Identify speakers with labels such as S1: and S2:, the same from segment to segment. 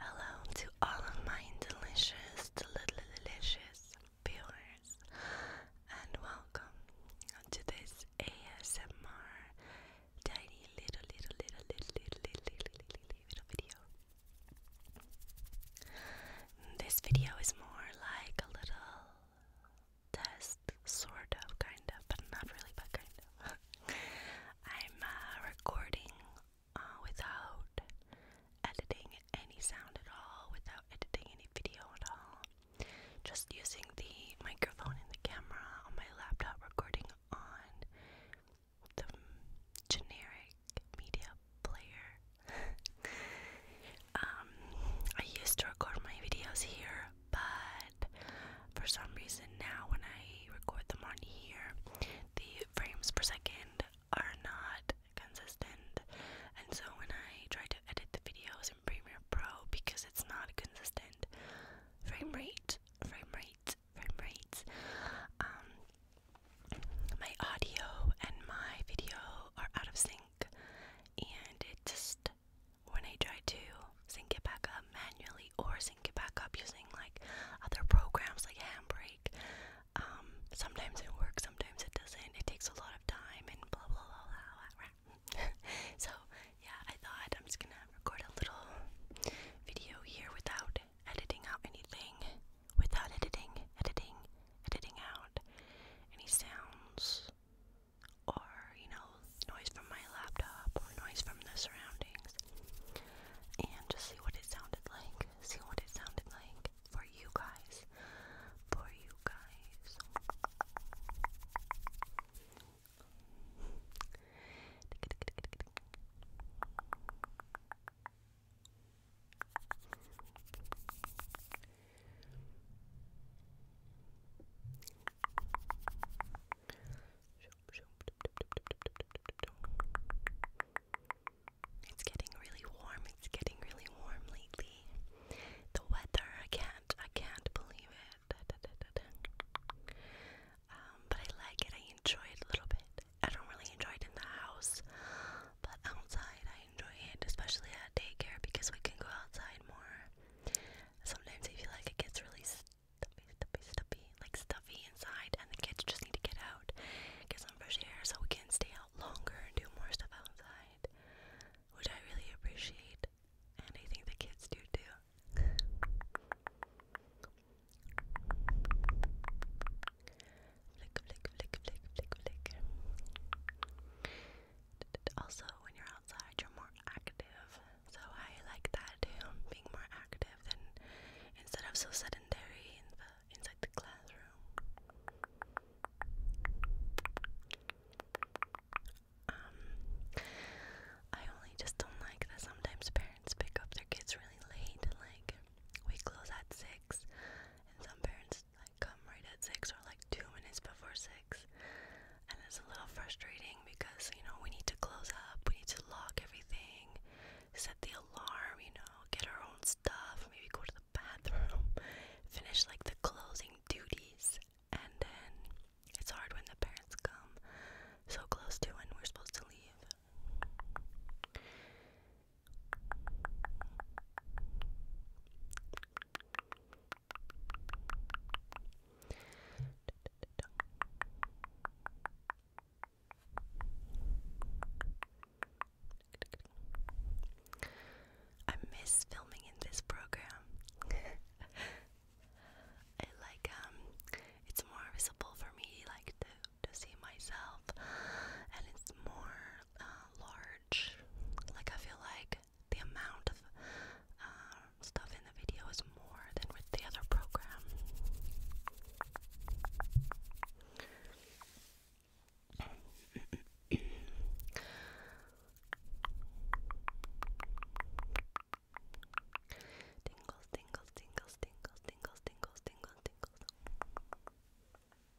S1: Hello to all of my delicious, delicious viewers, and welcome to this ASMR tiny little, little, little, little, little, little, little, little video. This video is more like a little test, sort of, kind of, but not really, but kind of. I'm uh, recording uh, without editing any sound at all, without editing any video at all. Just using the microphone and the camera on my laptop, recording on the generic media player. um, I used to record my videos here but for some reason now when I record them on here, the frames per second are not consistent. And so when I try to edit the videos in Premiere Pro because it's not a consistent, frame rate, frame rate, frame rates, um, my audio and my video are out of sync, and it just when I try to sync it back up manually or sync it back up using like other programs like Handbrake, um, sometimes it works, sometimes it doesn't. It takes a lot of time and blah blah blah blah. blah. so yeah, I thought I'm just gonna record a little video here without editing out anything, without editing, editing, editing out any sounds or you know, noise from my laptop or noise from the surroundings, and just see what it sounded like. See what it sounded like for you guys. For you guys. It's getting really warm. It's getting really warm lately. The weather, I can't, I can't believe it. Um, but I like it. I enjoy it a little bit. I don't really enjoy it in the house, but outside I I enjoy it, especially at daycare because we can go outside more. Sometimes I feel like it gets really stuffy, stuffy, stuffy, like stuffy inside, and the kids just need to get out, get some fresh air, so we can stay out longer and do more stuff outside, which I really appreciate, and I think the kids do too. Flick, flick, flick, flick, flick, flick also when you're outside you're more active so i like that being more active than instead of so sedentary inside the classroom um i only just don't like that sometimes parents pick up their kids really late like we close at six and some parents like come right at six or like two minutes before six, and it's a little frustrating because you know we need to close up, we need to lock everything, set the alarm, you know, get our own stuff, maybe go to the bathroom, finish like the closing duties, and then it's hard when the parents come so close to when we're supposed to leave. I miss filming in this program. I like um it's more visible for me like to to see myself and it's more uh, large. Like I feel like the amount of uh, stuff in the video is more than with the other program. tingles, tingles, tingles, tingles, tingles, tingles, tingles, tingles.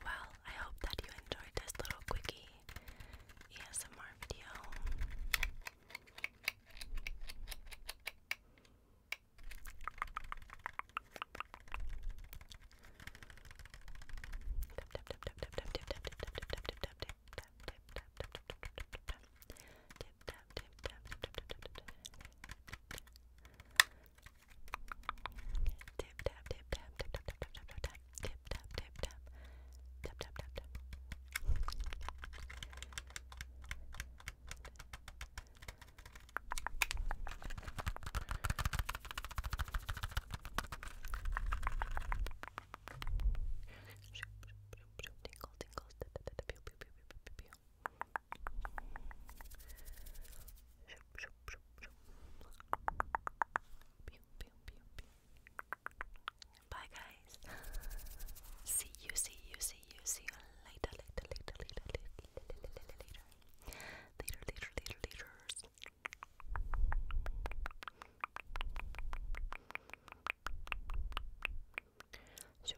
S1: Well, I hope that you enjoyed this little quickie ASMR video. Tip tap tip tap tip tap tap tap tap tap like tip tap tip tap tap tap tap tap. Tinkle, tinkles, da, da, da, da, pew, pew, pew, pew, pew, pew. Shoop, shoop, shoop, shoop. Bye, guys. see you, see you, see you, see you later, later, later, later, later, later, later, later, later, later, later, later. So,